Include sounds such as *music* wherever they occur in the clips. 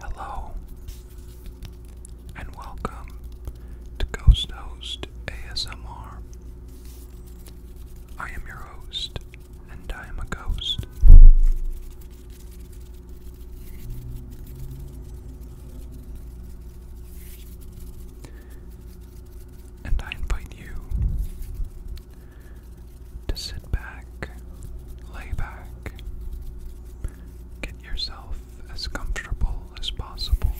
Hello and welcome to Ghost Host ASMR. I am your host, and I am a ghost. And I invite you to sit back, lay back, get yourself as comfortable as possible,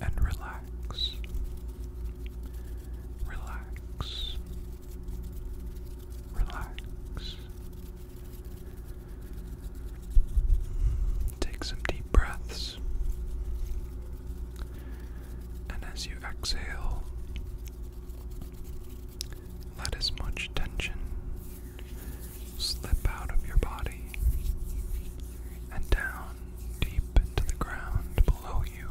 and relax. Relax. Relax. Take some deep breaths. And as you exhale, let as much tension slip out of your body and down deep into the ground below you.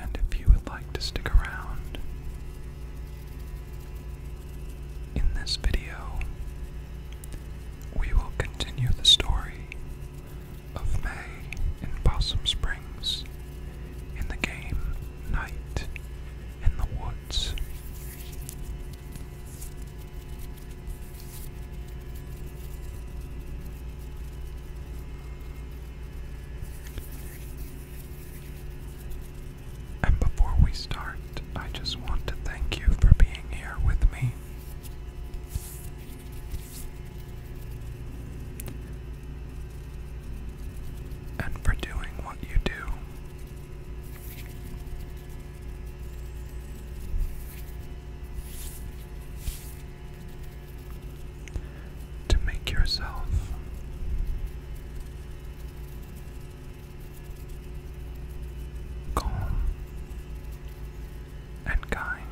And if you would like to stick around in this video, we will continue the story of May in Possum Springs in the game Night in the woods. And before we start, I just want to thank you for being here with me. And for doing what you do to make yourself calm and kind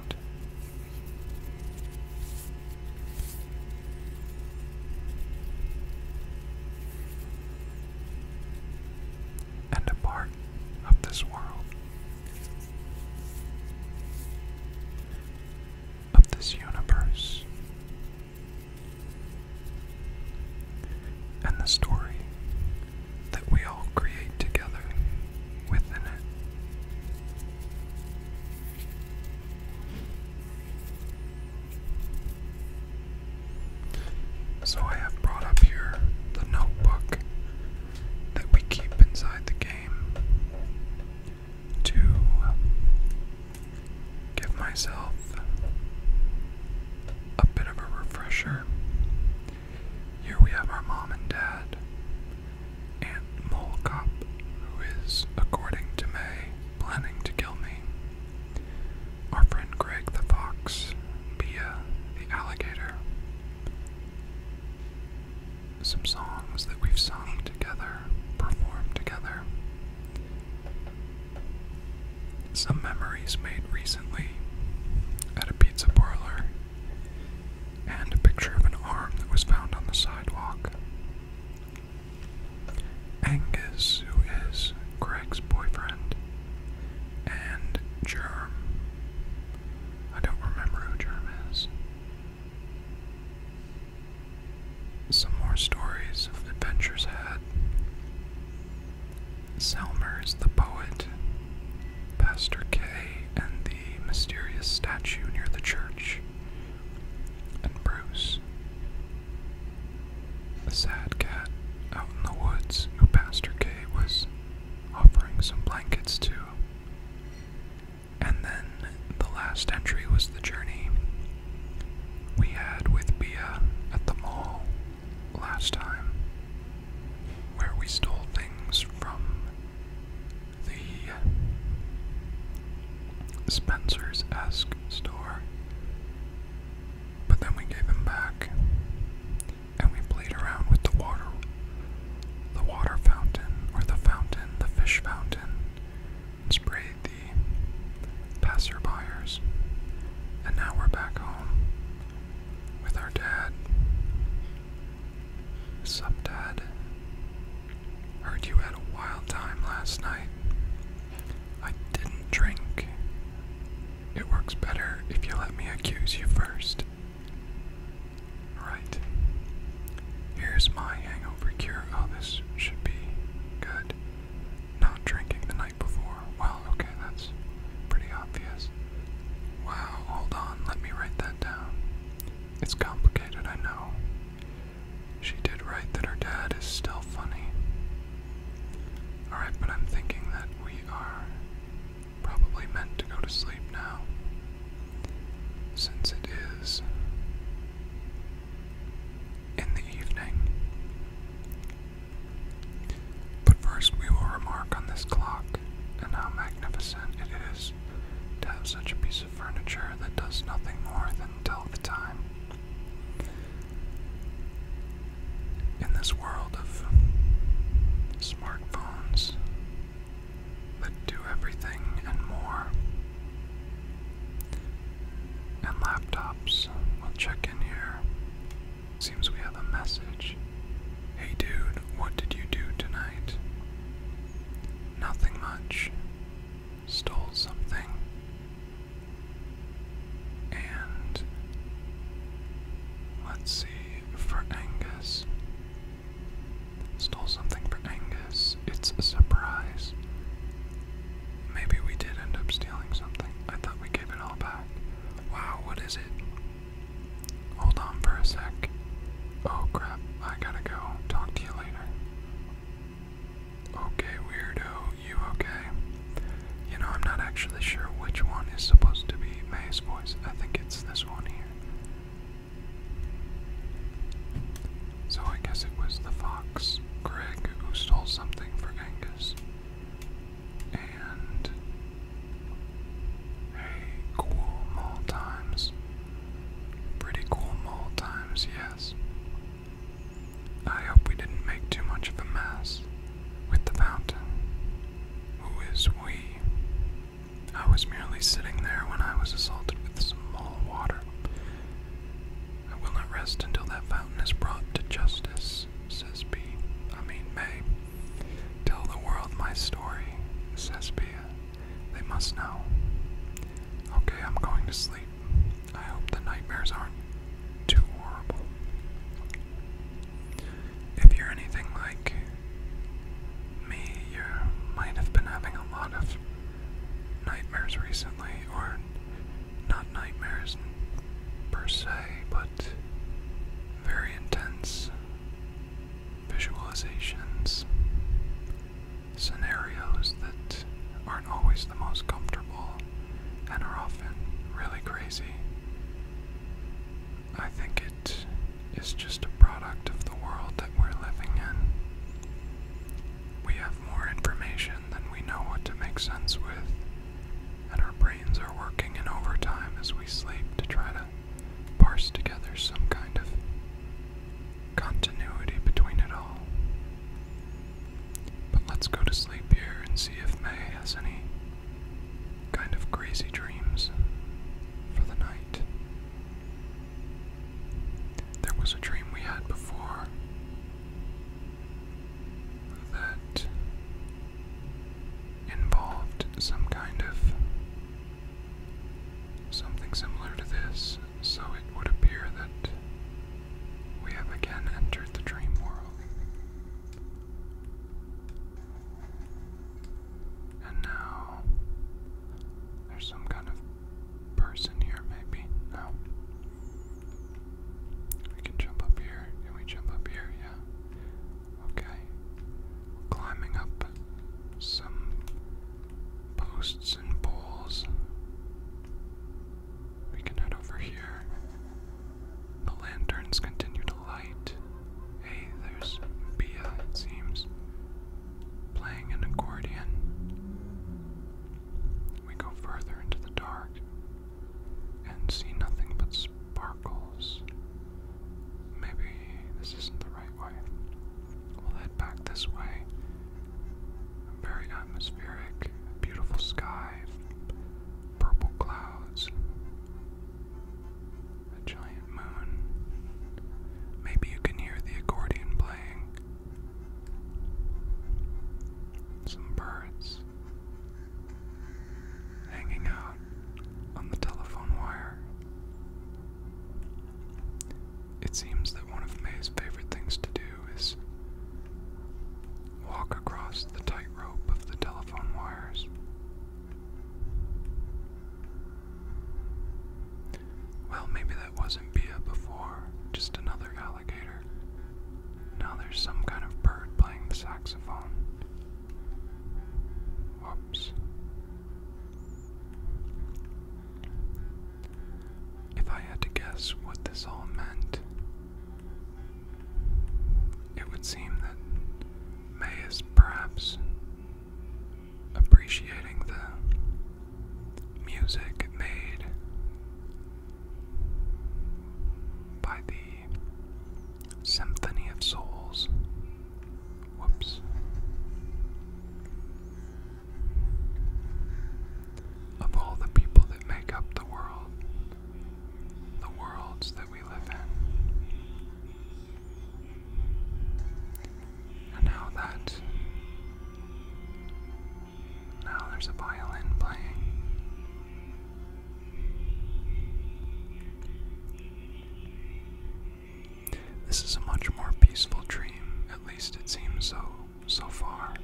and a part of this world, of this universe. And the story that we all create together within it. So I have brought up here the notebook that we keep inside the game to give myself a bit of a refresher. Here we have our mom and dad. Aunt Molecop, who is, according to May, planning to kill me. Our friend Greg the fox, Bia the alligator. Some songs that we've sung together, performed together. Some memories made recently at a pizza parlor, and a picture of an arm that was found on the sidewalk. Angus, who is Greg's boyfriend, and Germ. I don't remember who Germ is. Some more stories of adventures had. Selmer is the poet, Pastor K, and the mysterious statue near the church, and Bruce. A sad cat out in the woods who Pastor K was offering some blankets too. And then the last entry was the journey we had with Bia at the mall last time, where we stole things from the Spencer's esque store but then we gave him back, and we played around with the water, the water fountain, or the fountain, the fish fountain, and sprayed the passerbyers. And now we're back home with our dad. Sup, Dad? Heard you had a wild time last night. I didn't drink. It works better if you let me accuse you first. Right. Here's my hangover cure. Oh, this should be good. Not drinking the night before. Well, okay, that's pretty obvious. Wow, hold on, let me write that down. It's complicated, I know. She did write that her dad is still funny. Alright, but I'm thinking that we are probably meant to go to sleep now. Since it is in the evening. But first, we will remark on this clock and how magnificent it is to have such a piece of furniture that does nothing more than tell the time. In this world of smartphones that do everything and more, and laptops, we'll check in here. Seems we have a message. Hey dude, what did you do tonight? Nothing much. Stole something. And let's see for Angus. Stole something for Angus. It's a surprise. Maybe we did end up stealing something. I thought we gave it all back. Wow, what is it? Hold on for a sec. Oh crap, I gotta go. Talk to you later. Okay, weirdo, you okay? You know, I'm not actually sure which one is supposed to be May's voice. I think it's this one here. So I guess it was the fox, Greg, who stole something for Angus. And. Hey, cool mall times. Pretty cool mall times, yes. I hope we didn't make too much of a mess with the fountain. Who is we? I was merely sitting there when I was assaulted with some small water. I will not rest until that fountain is brought to justice, says B. I mean, May. Tell the world my story, says Bea. They must know. Okay, I'm going to sleep. I hope the nightmares aren't too horrible. If you're anything like me, you might have been having a lot of nightmares recently, or not nightmares per se, but very intense visualizations, scenarios that aren't always the most comfortable and are often really crazy. I think it is just a product of the world that we're living in. We have more information than we know what to make sense with, and our brains are working in overtime as we sleep to try to parse together some kind of continuity between it all. But let's go to sleep here and see if May has any kind of crazy dreams for the night. There was a dream we had before that involved some kind of something similar to this, so it would appear that we have again entered the dream world. And now there's some kind of person here, maybe. No. We can jump up here. Can we jump up here? Yeah. Okay. climbing up some posts and poles. We can head over here. The lanterns continue to light. Hey, there's Bia, it seems, playing an accordion. We go further into the dark and see nothing but sparkles. Maybe this isn't the right way. We'll head back this way very atmospheric, beautiful sky, purple clouds, a giant moon. Maybe you can hear the accordion playing, some birds hanging out on the telephone wire. It seems that one of May's favorite things to do is walk across the tightrope of the telephone wires. Well, maybe that wasn't Bia before, just another alligator. Now there's some kind of bird playing the saxophone. Whoops. If I had to guess what this all meant, it would seem that May is perhaps appreciating the music made by the Symphony of Souls. Whoops of all the people that make up the world, the worlds that we live in. And now that. Now there's a violin playing. This is a much more peaceful dream, at least it seems so so far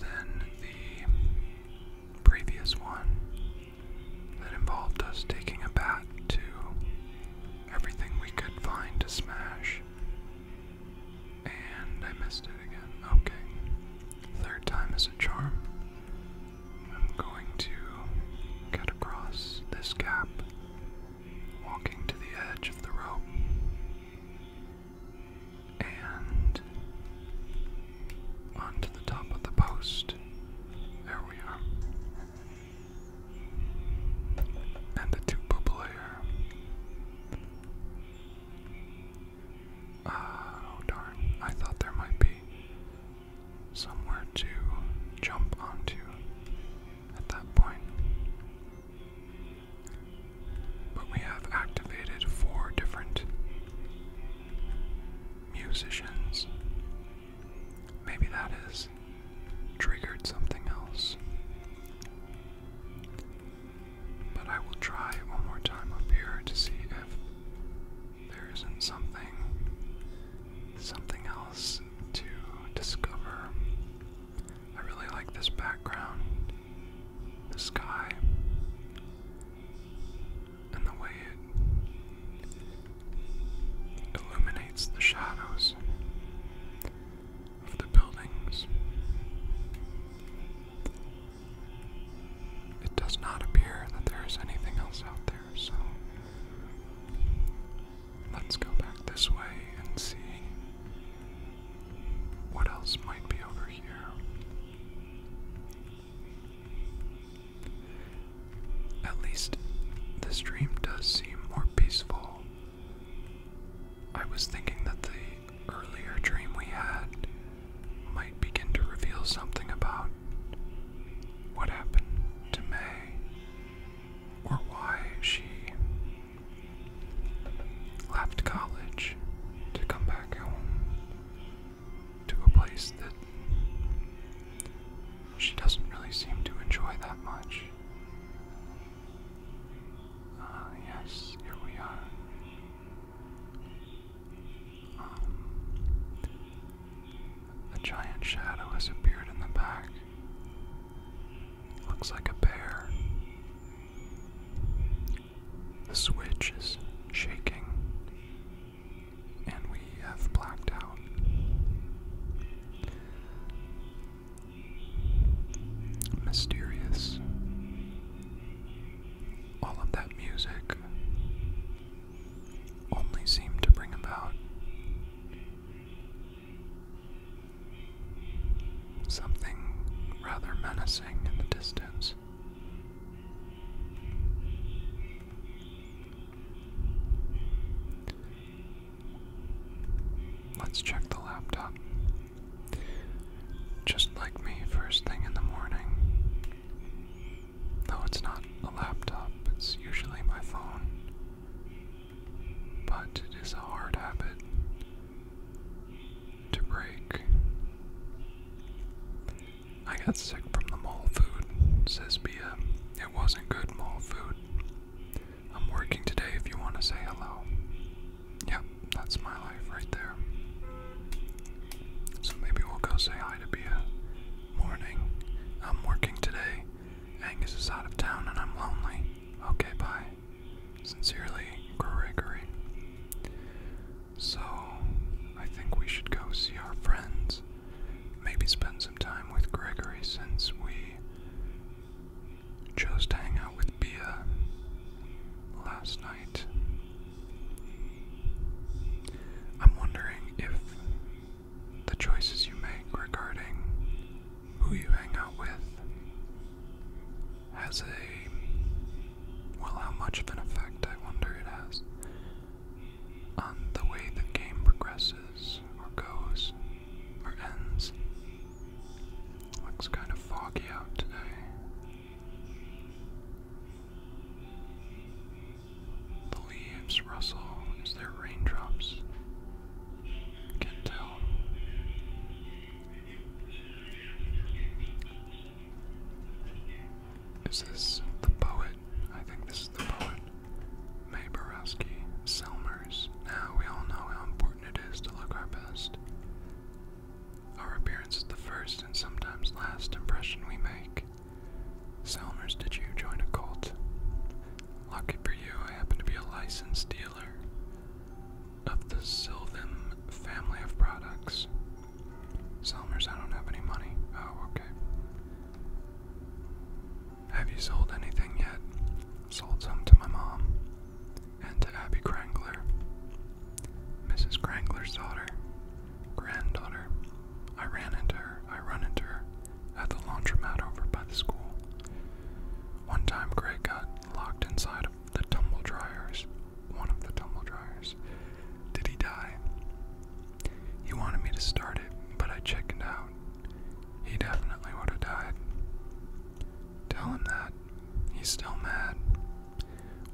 than the previous one that involved us taking a bat to everything we could find to smash. And I missed it again. Okay. Third time is a charm. I'm going to get across this gap, walking to the edge of the rope, and onto the top of the post. There we are. And the tuba player. Ah, oh darn, I thought there might be somewhere to jump onto at that point. But we have activated four different musicians. Maybe that has triggered something else. But I will try one more time up here to see if there isn't something something else to discover. I really like this background the sky, and the way it illuminates the shadows of the buildings. It does not appear that there is anything else out there, so let's go back this way and see what else might be over here? At least this dream does seem more peaceful. I was thinking that the earlier dream we had might begin to reveal something about what happened to May or why she left college to come back home to a place that she doesn't really seem to enjoy that much. Ah, yes, here we are. Um, a giant shadow has appeared in the back. Looks like a bear. The switch is shaking, and we have blacked out. Mysterious. All of that music only seemed to bring about Something rather menacing in the distance. Let's check the laptop. Just like me, first thing in the morning. Though it's not a laptop, it's usually my phone. But it is a hard habit to break. I got sick from the mall food, says Bia. It wasn't good mall food. I'm working today if you want to say hello. Yep, that's my life right there. So maybe we'll go say hi to Bia. Morning. I'm working today. Angus is out of town and I'm lonely. Okay, bye. Sincerely, Gregory. So, I think we should go see our friends. Maybe spend some time with Gregory since we chose to hang out with Bia last night. I'm wondering if the choices you make regarding who you hang out with has a. Well, how much of an effect I wonder it has on the way the game progresses, or goes, or ends. Looks kind of foggy out today. The leaves rustle as there raindrops. Can't tell. Is this the poet? I think this is the poet. May Borowski, Selmers. Now we all know how important it is to look our best. Our appearance is the first and sometimes last impression we make. Selmers, did you join a cult? Lucky for you, I happen to be a licensed dealer of the Sylvan family of products. Selmers, I don't have any money. Oh, okay. Have you sold anything yet? Sold some to my mom and to Abby Crangler, Mrs. Crangler's daughter, granddaughter. I ran into her, I run into her at the laundromat over by the school. One time Greg got locked inside the tumble dryers, one of the tumble dryers. Did he die? He wanted me to start it, but I chickened out. He definitely would have died. Tell him that. He's still mad.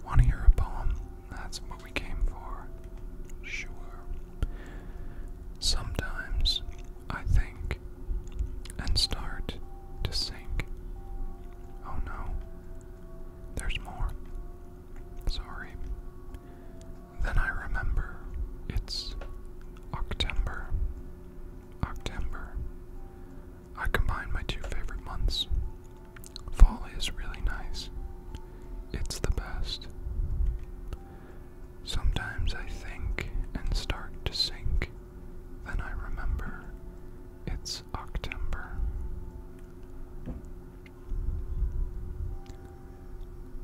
Want to hear a poem? That's what we came for. Sure. Sometimes I think and start to sink. Oh no. There's more. Sorry. Then I remember. It's October. October. I combine my two favorite months. Fall is really nice. It's the best. Sometimes I think and start to sink. Then I remember it's October.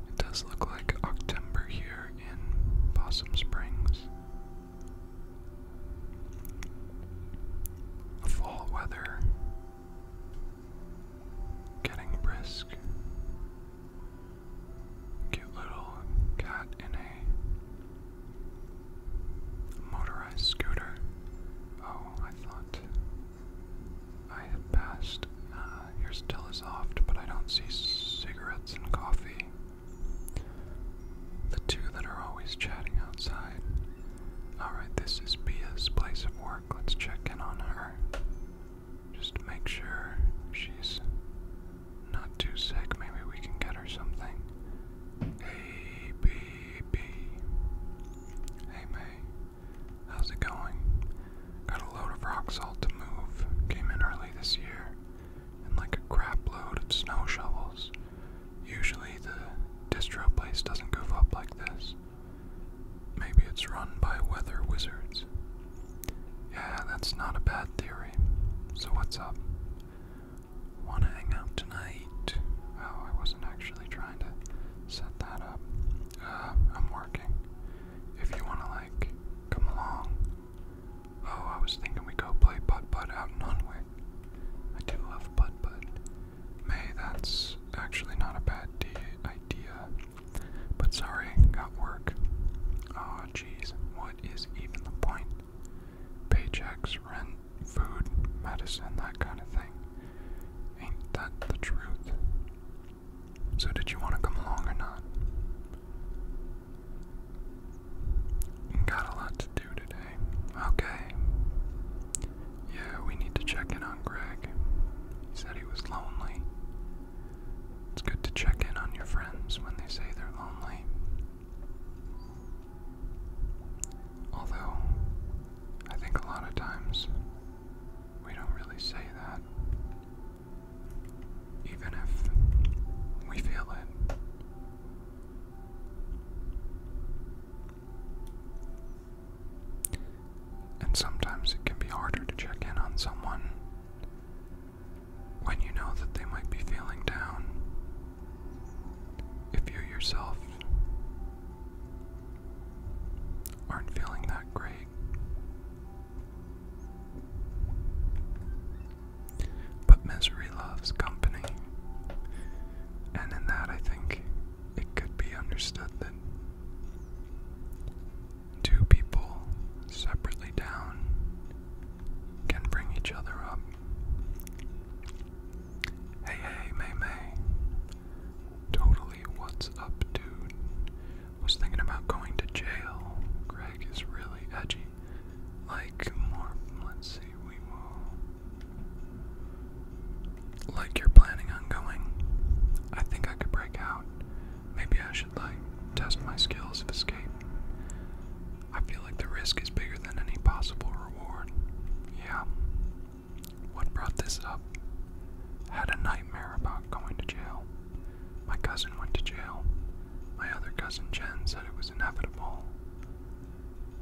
It does look like October here in Possum Springs. Fall weather getting brisk. Cute little cat in a Motorized scooter. Oh, I thought I had passed. Uh, here's Telesoft, but I don't see cigarettes and coffee. The two that are always chatting outside. Alright, this is Beas' place of work. Let's check in on her. Just make sure she's not too sick. Maybe we can get her something. Hey, baby. Hey, May. How's it going? Got a load of rock salt to move. Came in early this year. And like a crap load of snow shovels. Usually the distro place doesn't goof up like this. Maybe it's run by weather wizards. Yeah, that's not a bad theory. So what's up? Want to hang out tonight? Oh, I wasn't actually trying to set that up. Uh, I'm working. If you want to, like, come along. Oh, I was thinking we go play butt butt out in Hunwick. I do love butt butt. May, that's actually not a bad idea. But sorry, got work. Ah, jeez, what is even the point? Paychecks, rent, food, medicine, that kind of thing. Ain't that the truth? So, did you want to come along or not? Got a lot to do today. Okay. Yeah, we need to check in on Greg. He said he was lonely. It's good to check in on your friends when they say they're lonely. Although, I think a lot of times we don't really say that. Even if we feel it. And sometimes it can be harder to check in on someone when you know that they might be feeling down. If you yourself aren't feeling that great, but misery loves company, and in that, I think it could be understood that two people separately down can bring each other up. Hey, hey, May May. Totally, what's up, dude? Was thinking about going to jail. Greg is really edgy. Like more, let's see, we Like you're planning on going. I think I could break out. Maybe I should, like, test my skills of escape. I feel like the risk is bigger than any possible reward. Yeah. What brought this up? Had a nightmare about going to jail. My cousin went to jail. My other cousin Jen said it was inevitable.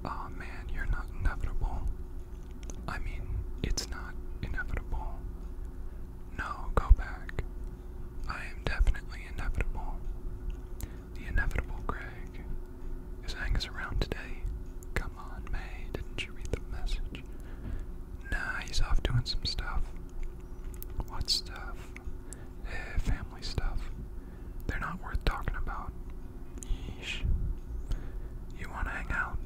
oh, man, you're not inevitable. I mean, it's not inevitable. No, go back. I am definitely inevitable. The inevitable Greg. Is around today? Come on, May. Didn't you read the message? Nah, he's off doing some stuff. What stuff? Eh, family stuff. They're not worth talking about. Yeesh. You wanna hang out?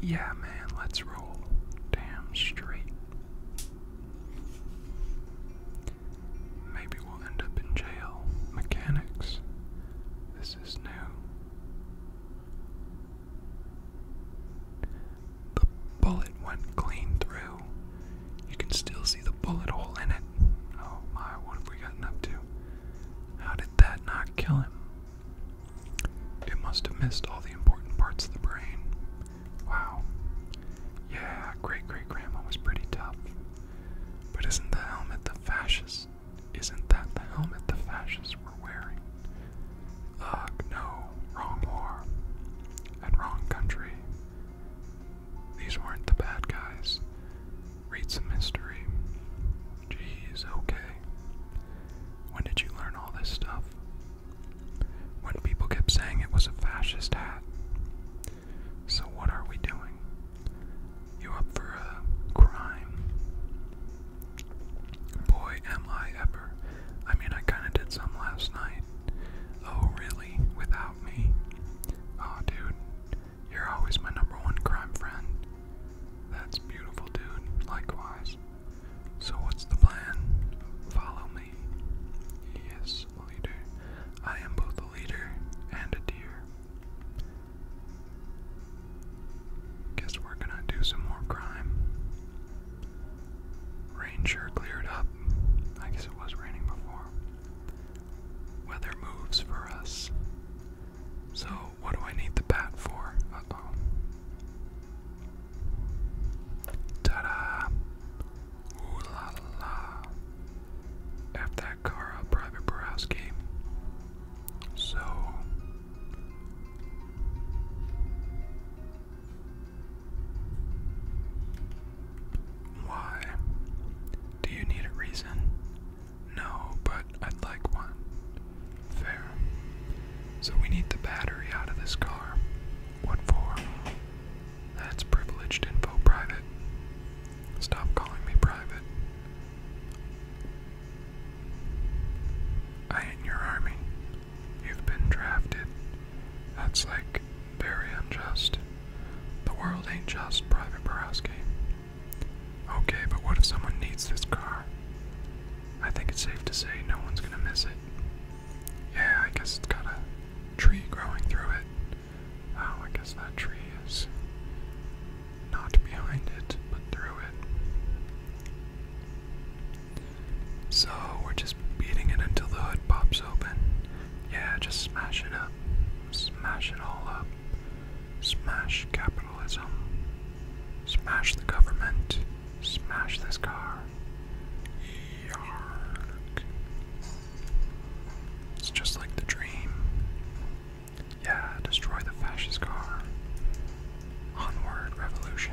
Yeah, man, let's roll. Damn straight. Maybe we'll end up in jail. Mechanics. This is new. The bullet went clean through. You can still see the bullet hole in it. Oh my, what have we gotten up to? How did that not kill him? It must have missed all the important parts of the brain. Wow. Yeah, great great grandma was pretty tough. But isn't the helmet the fascists? Isn't that the helmet the fascists were wearing? Ugh, no, wrong war. And wrong country. These weren't the bad guys. Read some history. Jeez, okay. When did you learn all this stuff? when people kept saying it was a fascist hat. So, what are we doing? You up for a crime? Boy, am I ever. I mean, I kinda did some last night. Oh, really? Without me? Aw, dude, you're always my number one crime friend. That's beautiful, dude. Likewise. So, what's the plan? Follow only. Yes, leader. I am both a leader and a deer. Guess we're gonna do some more crime. Rain cleared up. I guess it was raining before. Weather moves for us. So, what do I need the bat for? Ta da! Ooh la la. F that car Private Borowski. So. Why? Do you need a reason? No, but I'd like one. Fair. So we need the battery out of this car. What for? That's privileged info, private. Stop calling me private. I ain't your army. You've been drafted. That's like very unjust. The world ain't just, Private Borowski. Okay, but what if someone needs this car? I think it's safe to say no one's gonna miss it. Yeah, I guess it's got a tree growing through it. Oh, I guess that tree is not behind it, but through it. So we're just beating it until the hood pops open. Yeah, just smash it up. Smash it all up. Smash capitalism. Smash the government. Smash this car. Yark. It's just like the dream. Yeah, destroy the fascist car. Onward, revolution.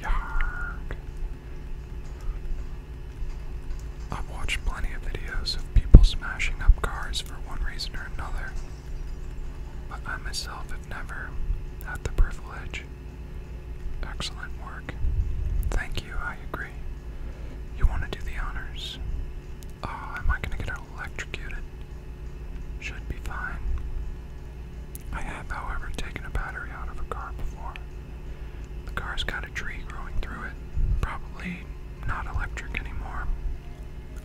Yark. I've watched plenty of videos of people smashing up cars for one reason or another, but I myself have never had the privilege Excellent work. Thank you, I agree. You want to do the honors? Oh, am I going to get electrocuted? Should be fine. I have, however, taken a battery out of a car before. The car's got a tree growing through it. Probably not electric anymore.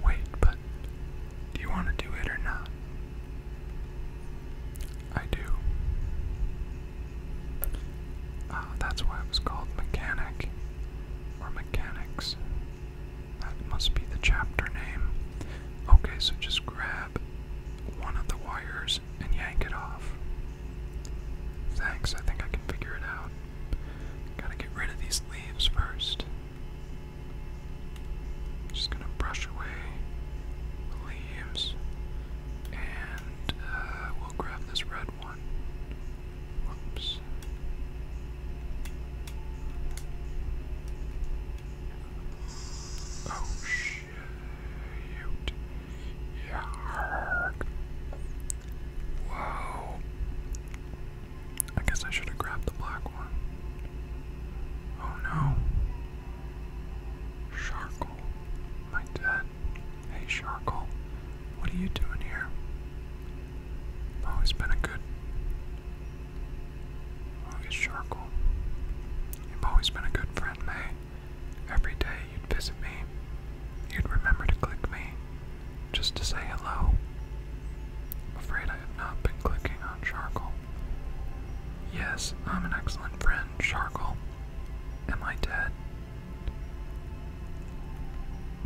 Wait, but do you want to do it or not? I do. Uh, that's why it was called Mechanic or Mechanics. That must be the chapter name. Okay, so just grab one of the wires and yank it off. Thanks, I think I can figure it out. Gotta get rid of these leaves first. Just gonna brush away leaves. And uh, we'll grab this red one. Whoops. Oh shit. Yeah. Wow. I guess I should have grabbed the black one. Oh no. Sharkle, my dad. Hey Sharkle, what are you doing here? Always been a good. Oh, it's You've always been a good friend, May. Every day you'd visit me. You'd remember to click me, just to say hello. afraid I have not been clicking on Sharkle. Yes, I'm an excellent friend, Sharkle. Am I dead?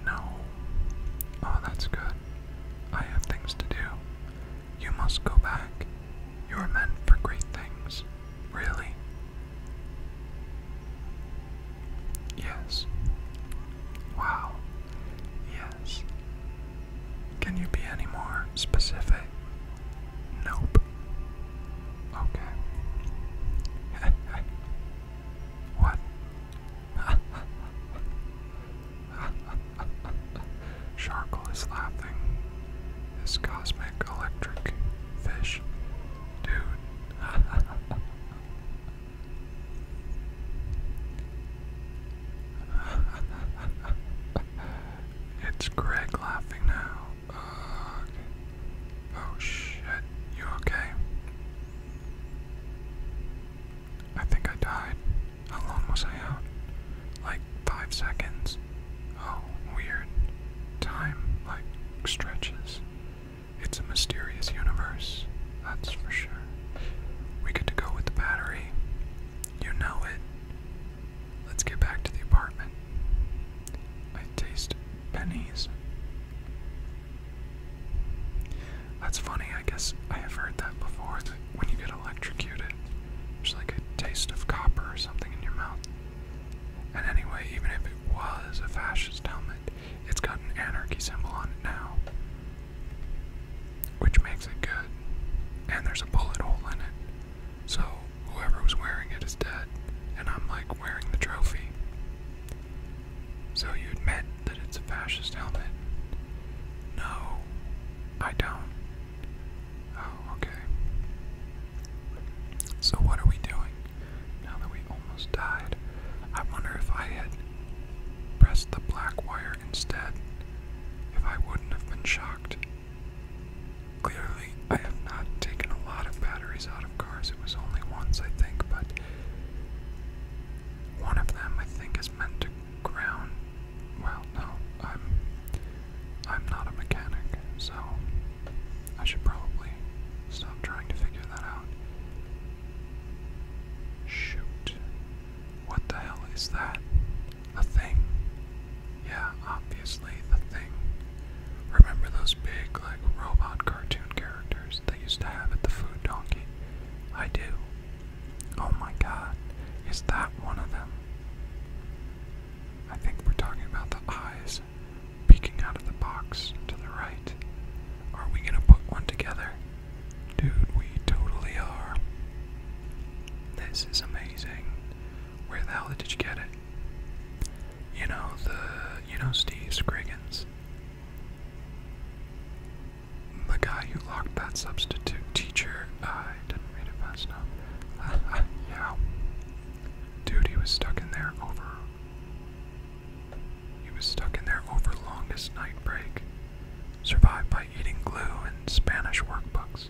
No. Oh, that's good. I have things to do. You must go back. You are meant for great things. Really? Yes. Wow. Yes. Can you be any more specific? Nope. Okay. *laughs* what? Sharkle *laughs* is laughing. This cosmic electric fish. Dude. *laughs* it's Greg laughing now. Uh, Oh shit, you okay? I think I died. How long was I out? Like five seconds. Oh, weird. Time, like, stretches. It's a mysterious universe, that's for sure. We get to go with the battery. You know it. Let's get back to the apartment. I taste pennies. That's funny, I guess I have heard that before, that when you get electrocuted, there's like a taste of copper or something in your mouth. And anyway, even if it was a fascist helmet, it's got an anarchy symbol on it now. Which makes it good. And there's a bullet hole in it. So whoever was wearing it is dead, and I'm like wearing the trophy. So you admit that it's a fascist helmet? No, I don't. Oh, okay. So what are we doing now that we almost died? I wonder if I had pressed the black wire instead, if I wouldn't have been shocked. Clearly, I have not taken a lot of batteries out of cars. It was only once, I think, but one of them, I think, is meant to ground. Well, no, I'm I'm not a mechanic, so I should probably stop trying to figure that out. Shoot. What the hell is that? The Thing. Yeah, obviously, The Thing. Remember those big, like, robot cartoon characters they used to have at the Food Donkey? I do. Oh my god, is that one of them? I think we're talking about the eyes peeking out of the box to the right. Are we gonna put one together? Dude, we totally are. This is amazing. Where the hell did you get it? You know, the, you know, Steve Scriggins. The guy who locked that substitute teacher, uh, I didn't read it fast enough. *laughs* yeah. Dude, he was stuck in there over. He was stuck in there over longest night break. Survived by eating glue and Spanish workbooks.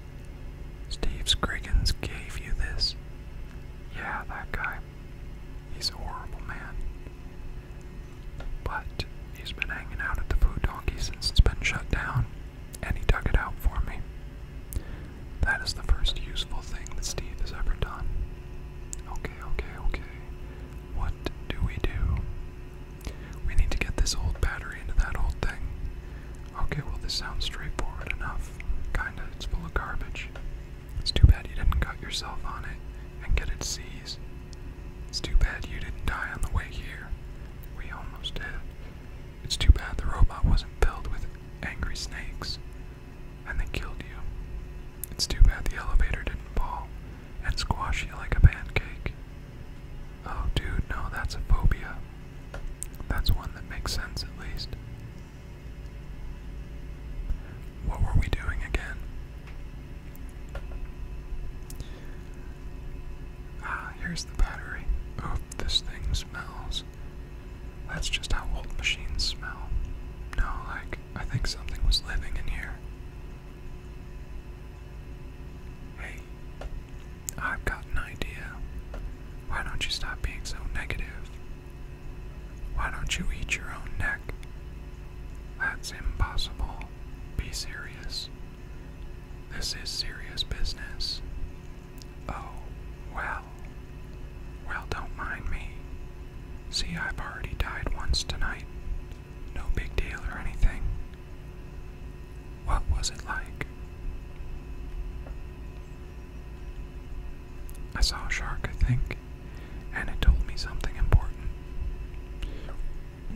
Steve Scriggins gave you this. Yeah, that guy. He's a horrible man. But he's been hanging out at the Food Donkey since it's been shut down, and he dug it out for me. That is the first useful thing that Steve has ever done. Okay, okay, okay. What do we do? We need to get this old battery into that old thing. Okay, well, this sounds straightforward enough. Kinda, it's full of garbage. It's too bad you didn't cut yourself on it and get it seized. It's too bad you didn't die on the way here. We almost did. It's too bad the robot wasn't filled with angry snakes and they killed you. It's too bad the elevator didn't fall and squash you like a pancake. Oh, dude, no, that's a phobia. That's one that makes sense at least. What were we doing again? Ah, here's the battery. Oh, this thing smells. That's just how old machines smell. No, like, I think something was living in here. Hey, I've got an idea. Why don't you stop being so negative? Why don't you eat your own neck? That's impossible. Be serious. This is serious business. Oh, well. Well, don't mind me. See, I've already died once tonight. No big deal or anything. What was it like? I saw a shark, I think, and it told me something important.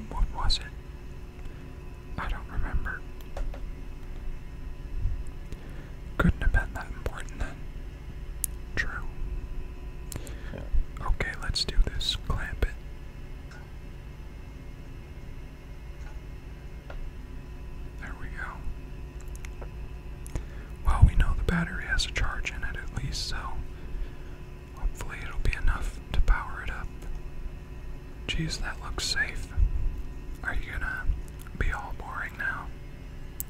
What was it? I don't remember. Couldn't have been that important then. True. Okay, let's do this. Clamp it. There we go. Well, we know the battery has a charge in it at least, so hopefully it'll be enough to power it up. Geez, that looks safe. Are you gonna be all boring now?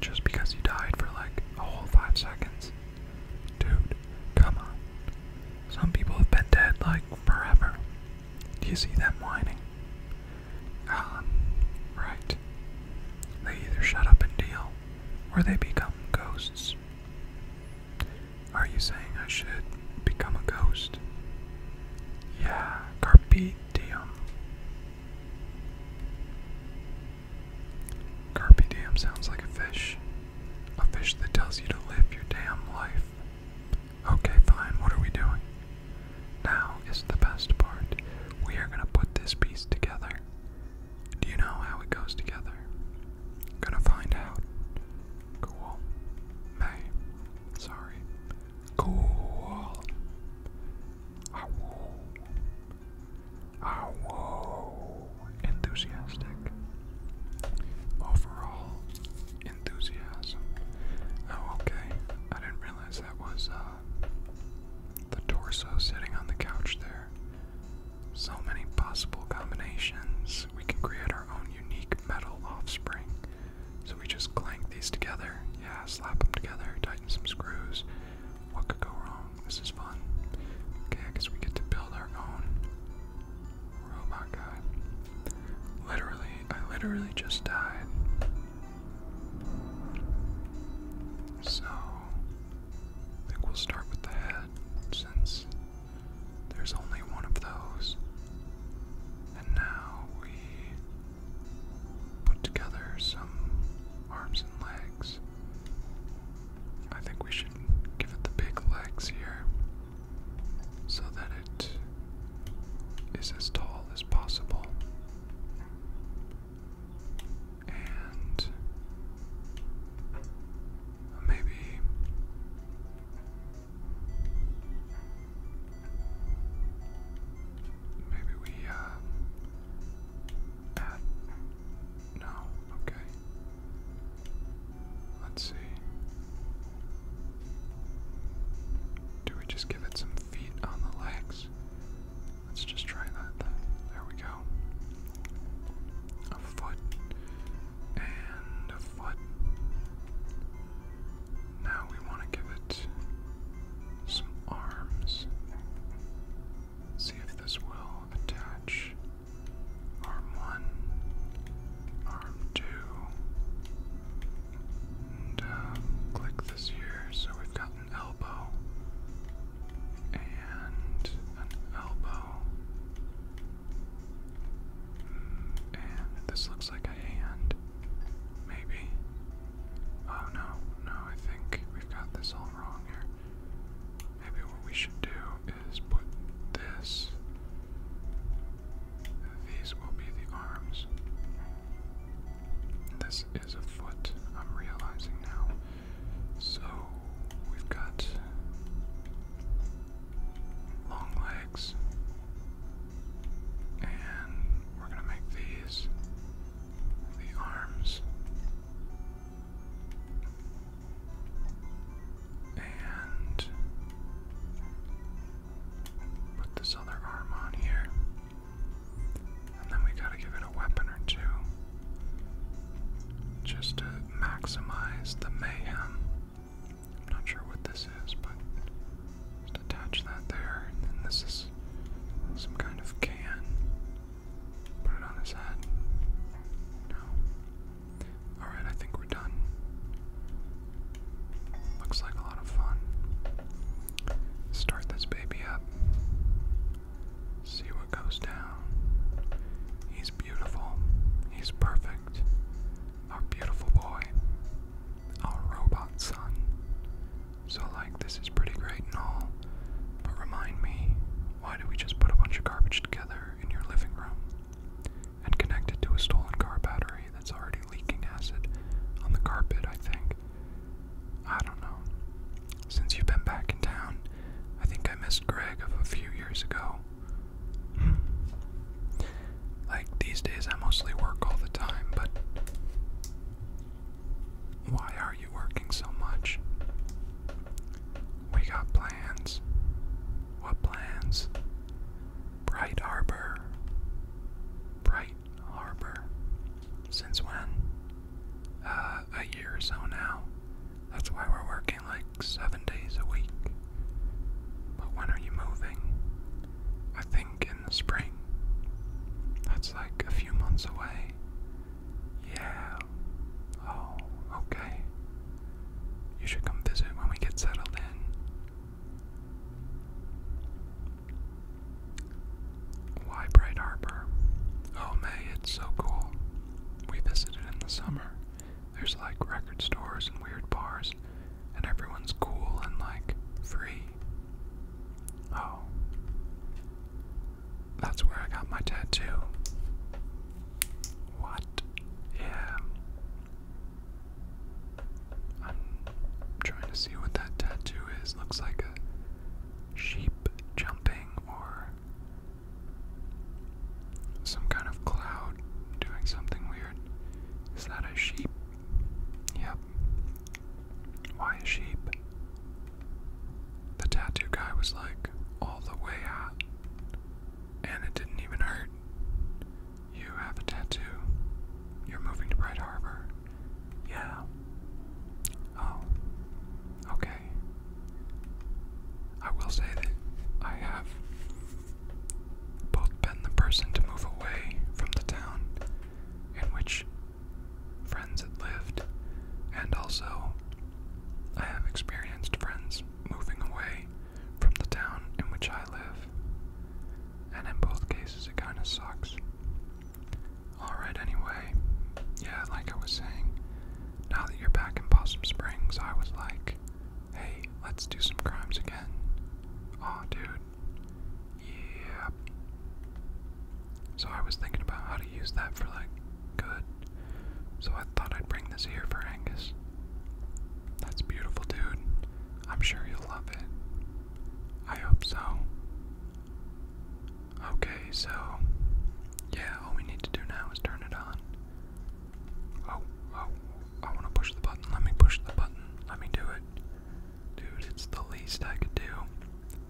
Just because you died for like a whole five seconds? Dude, come on. Some people have been dead like forever. Do you see them whining? Um, right. They either shut up and deal, or they become ghosts. Are you saying I should become a ghost? Yeah, carpe diem. Carpe diem sounds like a fish. A fish that tells you to live your damn life. Okay, fine, what are we doing? Now is the best part. We are gonna put this piece together. Do you know how it goes together? Gonna find out. Cool. May. Sorry. Cool. Ow. Ow. Enthusiastic. Overall, enthusiasm. Oh, okay. I didn't realize that was uh, the torso sitting on the couch there. So many possible combinations. We can create our own unique metal offspring. So we just clank these together. Yeah, slap them together, tighten some screws. What could go wrong? This is fun. Okay, I guess we get to build our own Robot oh guy. Literally, I literally just died. So, I think we'll start with the head since there's only one of those. And now we put together some arms and legs. I think we should give it the big legs here so that it is as tall as possible. And maybe maybe we uh add no okay let's see do we just give it some feet on the legs? Let's just try that There we go. A foot and a foot. Now we want to give it some arms. See if this will attach. Arm 1, arm 2, uh, click this here. So we've got an elbow and an elbow, and this looks like a hand, maybe. Oh no, no, I think we've got this all wrong here. Maybe what we should do is put this these will be the arms. This is a foot, I'm realizing now. So we've got long legs, and we're going to make these the arms. And Put this other arm on here. And then we gotta give it a weapon or two. Just to maximize the mayhem. I'm not sure what this is, but just attach that there. this is some kind of can. Put it on his head. No. Alright, I think we're done. Looks like a lot of fun. Start this baby up. See what goes down. He's beautiful. He's perfect. Our beautiful boy. Our robot son. So, like, this is pretty great and all, but remind me, why do we just put a bunch of garbage together in your living room? and connected to a stolen car battery that's already leaking acid on the carpet, I think. I don't know. Since you've been back in town, I think I missed Greg of a few years ago. Hmm. like, these days I mostly work all the time, but. Why are you working so much? We got plans. What plans? Bright Harbor. Bright Harbor. Since when? Uh, a year or so now. That's why we're working like seven days a week. But when are you moving? I think in the spring. That's like a few months away. Yeah. Oh, okay. You should come visit when we get settled in. Why Bright Harbor? Oh, May, it's so cool. We visited in the summer. There's like record stores and weird bars, and everyone's cool and like free. Oh. That's where I got my tattoo. What? Yeah. I'm trying to see what that tattoo is. Looks like a sheep jumping or some kind of cloud doing something weird. Is that a sheep? Yep. Why a sheep? The tattoo guy was like all the way out, and it didn't even hurt. You have a tattoo. You're moving to Bright Harbor. Yeah. Oh. Okay. I will say that I have both been the person to move away from the town in which friends had lived, and also I have experienced friends moving away from the town in which I live. And in both cases, it kinda sucks. Alright, anyway, yeah, like I was saying, now that you're back in Possum Springs, I was like, hey, let's do some crimes again. oh, dude. Yeah. So I was thinking about how to use that for, like, good. So I thought I'd bring this here for Angus. That's beautiful, dude. I'm sure you'll love it. I hope so. Okay, so yeah, all we need to do now is turn it on. Oh, oh, I want to push the button. Let me push the button. Let me do it. Dude, it's the least I could do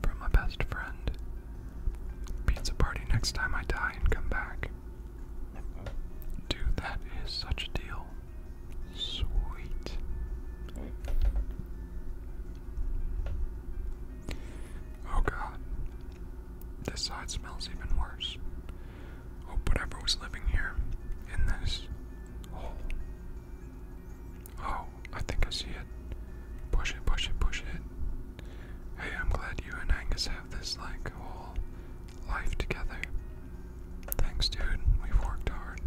from my best friend. Pizza party next time I die and come back. Dude, that is such a deal. Sweet. Oh god. This side smells even worse. Hope whatever was living here in this hole. Oh, oh, I think I see it. Push it, push it, push it. Hey, I'm glad you and Angus have this like whole life together. Thanks, dude. We've worked hard.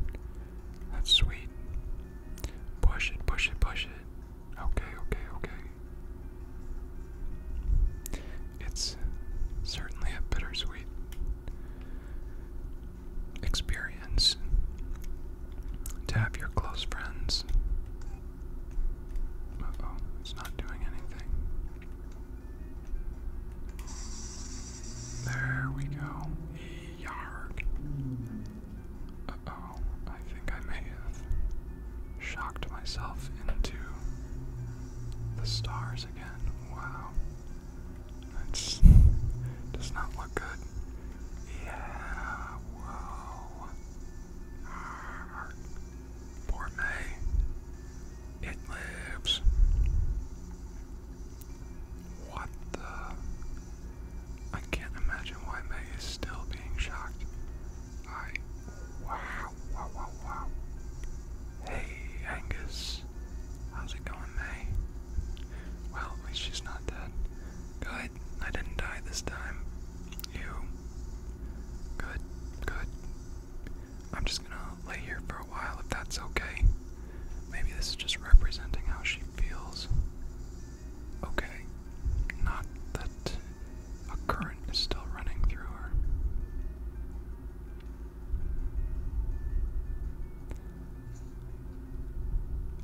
That's sweet. Push it, push it, push it. Okay, okay, okay. It's certainly a bittersweet experience to have your close friends. oh, it's not doing anything. There we go. Yarg. oh, I think I may have shocked myself into the stars again. Wow. That does not look good. Yeah, whoa. Poor May. It lives. What the? I can't imagine why Meg is still being shocked. I. Hey, Angus. How's it going, May? Well, she's not dead. Good. I didn't die this time. You. Good, good, I'm just gonna lay here for a while if that's okay. Maybe this is just representing how she feels. Okay, not that a current is still running through her.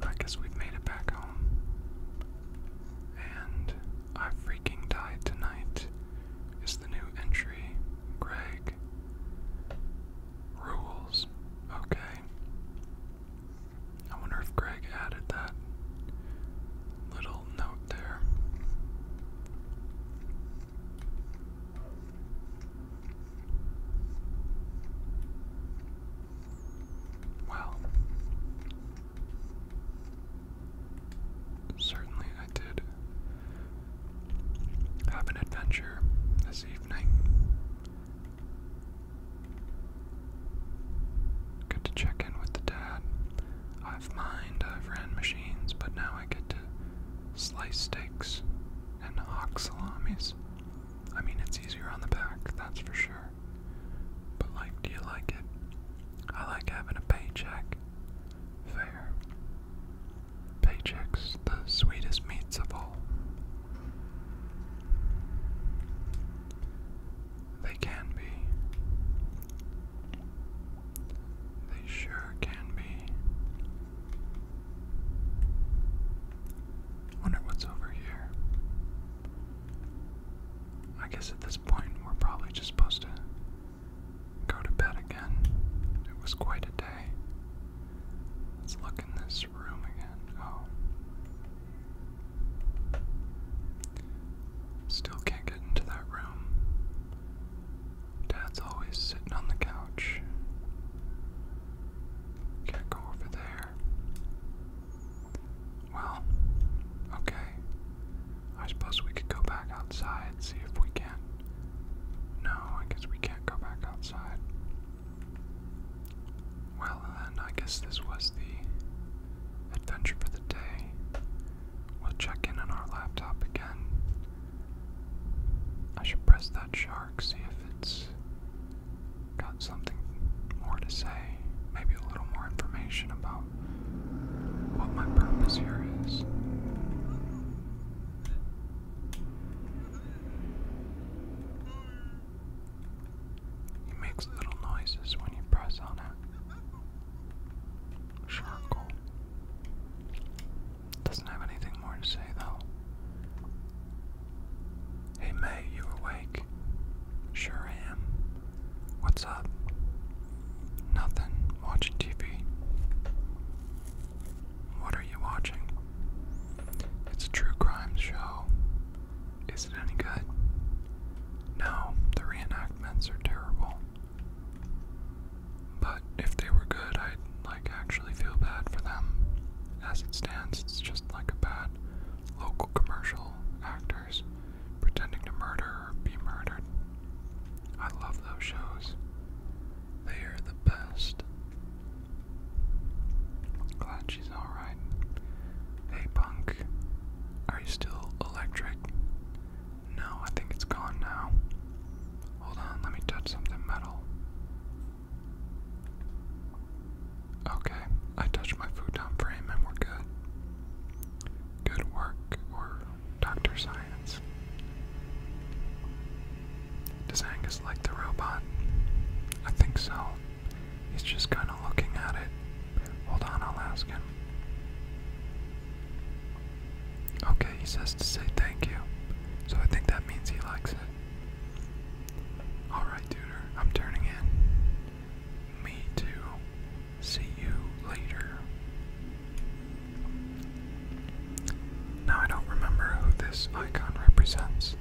I guess we've made it back home. And I freaking died tonight is the new entry Greg rules. Okay. I wonder if Greg added that little note there. Well, certainly I did have an adventure this evening. Good to check in with the dad. I've mined, I've ran machines, but now I get to slice steaks and hawk salamis. I mean, it's easier on the back, that's for sure. But, like, do you like it? I like having a paycheck fair. Paychecks, the sweetest meats of all. They can be. They sure can be. Wonder what's over here. I guess at this point we're probably just supposed to go to bed again. It was quite a day. Let's look in this room again. Oh. Still can't get into that room. Dad's always sitting on the couch. Can't go over there. Well, okay. I suppose we could go back outside, and see if we can. No, I guess we can't go back outside. Well, then, I guess this was the adventure for the day. We'll check in on our laptop again. I should press that shark, see if it's got something more to say. Maybe a little more information about what my purpose here is. It makes little noises when you press on it. Charcoal. Doesn't have anything more to say though. Hey May, you awake? Sure I am. What's up? Nothing. Watching TV. What are you watching? It's a true crime show. Is it any good? No, the reenactments are terrible. But if they were good, I'd like actually feel bad for them. As it stands, it's just like a bad local commercial actors pretending to murder or be murdered. I love those shows. They are the best. Glad she's alright. Hey, punk. Are you still electric? No, I think it's gone now. Hold on, let me touch something metal. Okay, I touched my futon frame and we're good. Good work, or Dr. Science. Does Angus like the robot? I think so. He's just kind of looking at it. Hold on, I'll ask him. Okay, he says to say thank you. So I think that means he likes it. Alright, Tutor, I'm turning in. Me too. See you later. Now I don't remember who this icon represents.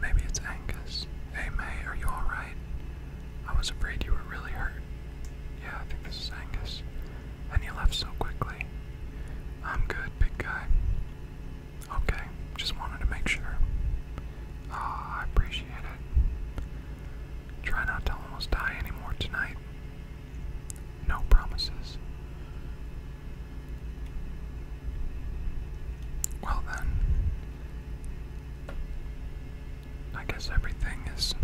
Maybe it's Angus. Hey May, are you alright? I was afraid you were really hurt. Yeah, I think this is Angus. And he left so quickly. I'm good, big guy. Okay, just wanted to make sure. Ah, I appreciate it. Try not to almost die anymore tonight. No promises. Well, then, I guess everything is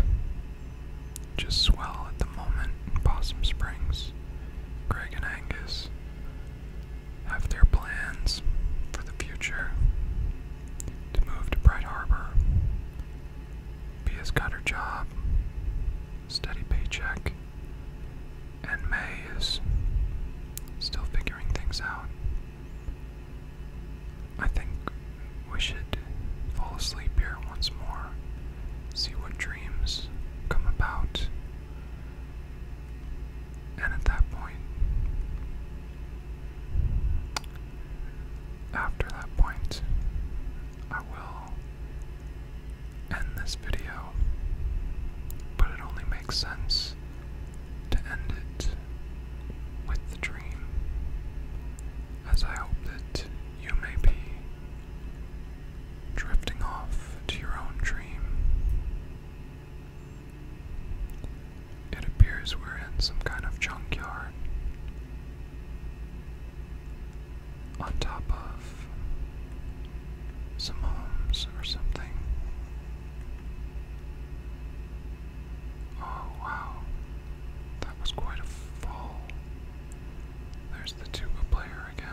just swell at the moment Possum Springs. Greg and Angus have their plans for the future to move to Bright Harbor Pia's got her job, steady paycheck, and May is still figuring things out. I think we should fall asleep here once more, see what dreams come about, and at that point, after that point, I will end this video, but it only makes sense to end it with the dream, as I hope that you may be drifting off to your own dream. It appears we're in some kind of junkyard on top of some homes or something. Oh wow, that was quite a fall. There's the tuba player again.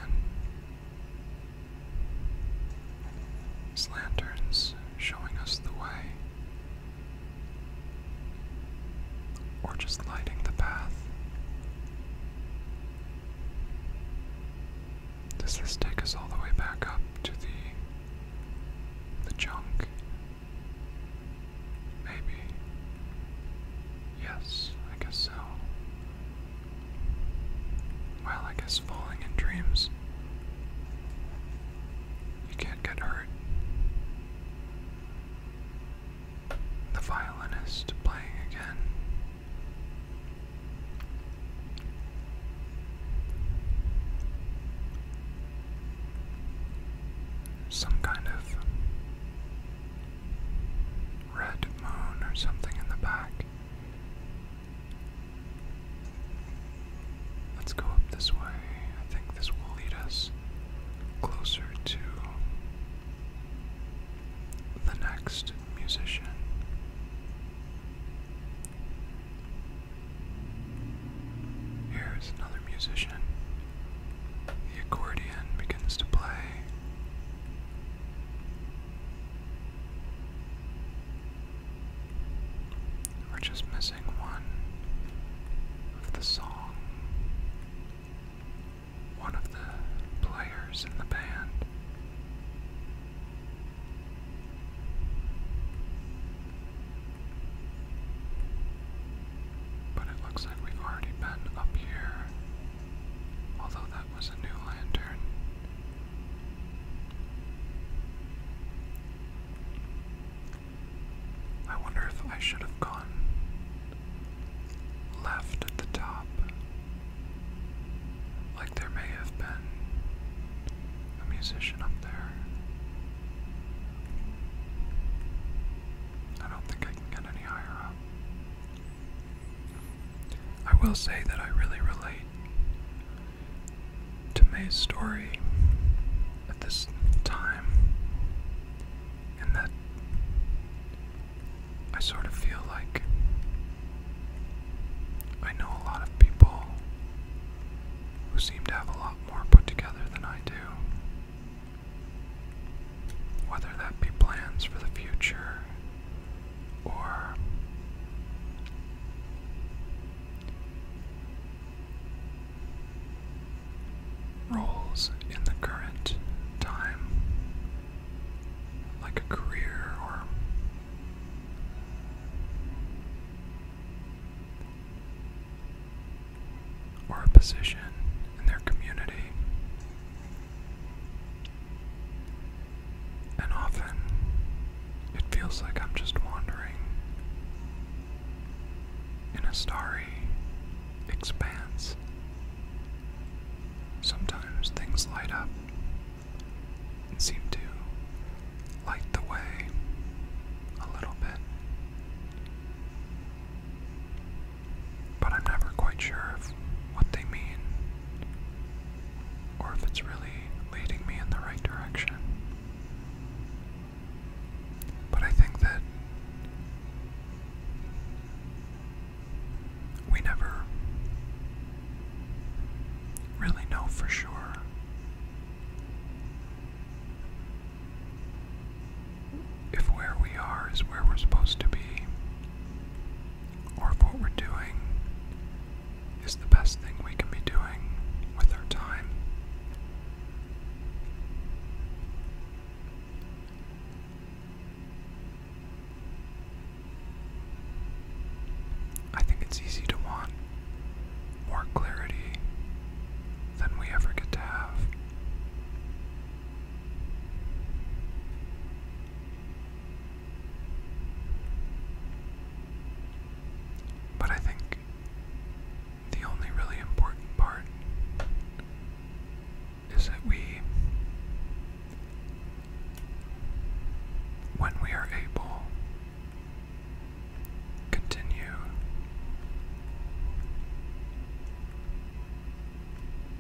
His showing us the way or just lighting the path. Does this take us all the way back up to the the junk? Maybe. Yes, I guess so. Well, I guess falling in dreams. You can't get hurt the violinist playing again. Some kind of red moon or something in the back. Let's go up this way. I think this will lead us closer to the next musician. Here's another musician. The accordion begins to play. We're just missing one of the song one of the players in the band. But it looks like we've already been up here, although that was a new lantern. I wonder if I should have gone left at the top. Like there may have been a musician up there. I don't think I can get any higher up. I will say that I really relate to May's story at this time and that I sort of feel like I know a lot of people who seem to have a lot more put together than I do. Whether that be plans for the future or roles in the current time, like a career or or a position in their community. And often it feels like I'm just wandering in a story expands. Sometimes things light up and seem to light the way a little bit. But I'm never quite sure if what they mean or if it's really leading me in the right direction. But I think that we never really know for sure. If where we are is where we're supposed to be, or if what we're doing is the best thing we can be doing with our time, I think it's easy to want more clarity than we ever get to have. But I think the only really important part is that we, when we are able, continue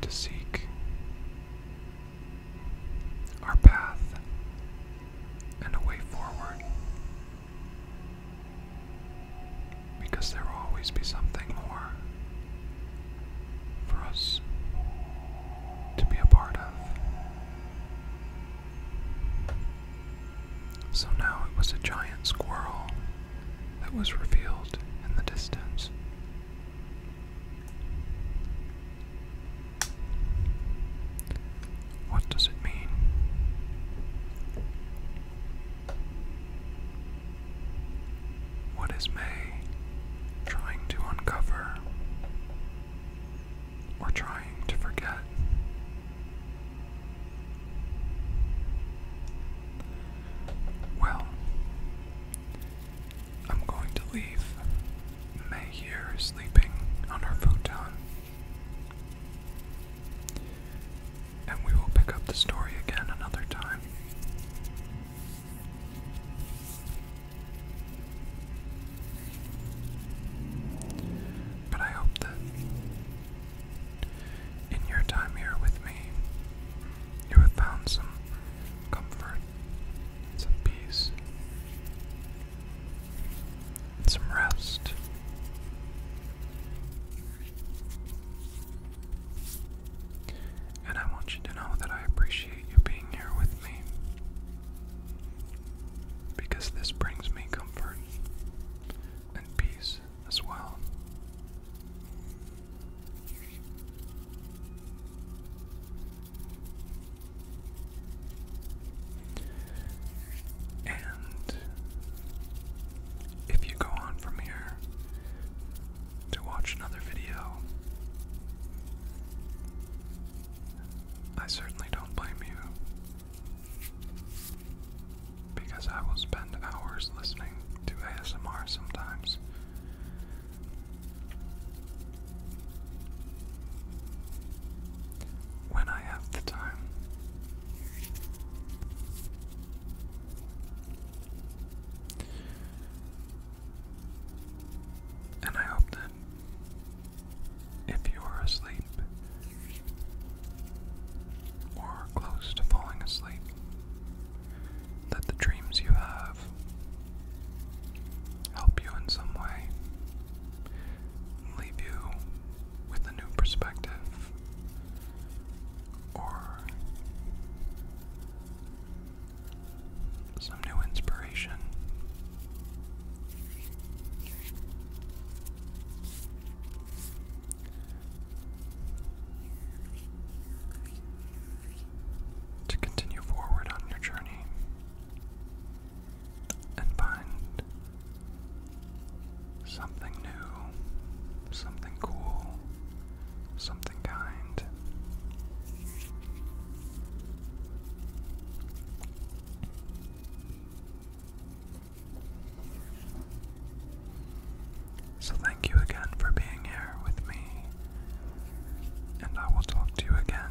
to seek our path and a way forward. Because there will always be something more for us to be a part of. So now it was a giant squirrel that was revealed in the distance. What does it mean? What is May trying to uncover or trying to forget? Well, I'm going to leave May here sleeping on her futon and we will pick up the story again another time. But I hope that in your time here with me, you have found some comfort, some peace, some rest, and I want you to know that I appreciate you being here with me. Because this brings me comfort and peace as well. And if you go on from here, to watch another video. I certainly don't blame you. Because I will spend hours listening to ASMR sometimes. When I have the time. And I hope that if you are asleep or close to falling asleep, that the dreams you have help you in some way, leave you with a new perspective or some new inspiration. To continue forward on your journey and find Something new, something cool, something kind. So, thank you again for being here with me, and I will talk to you again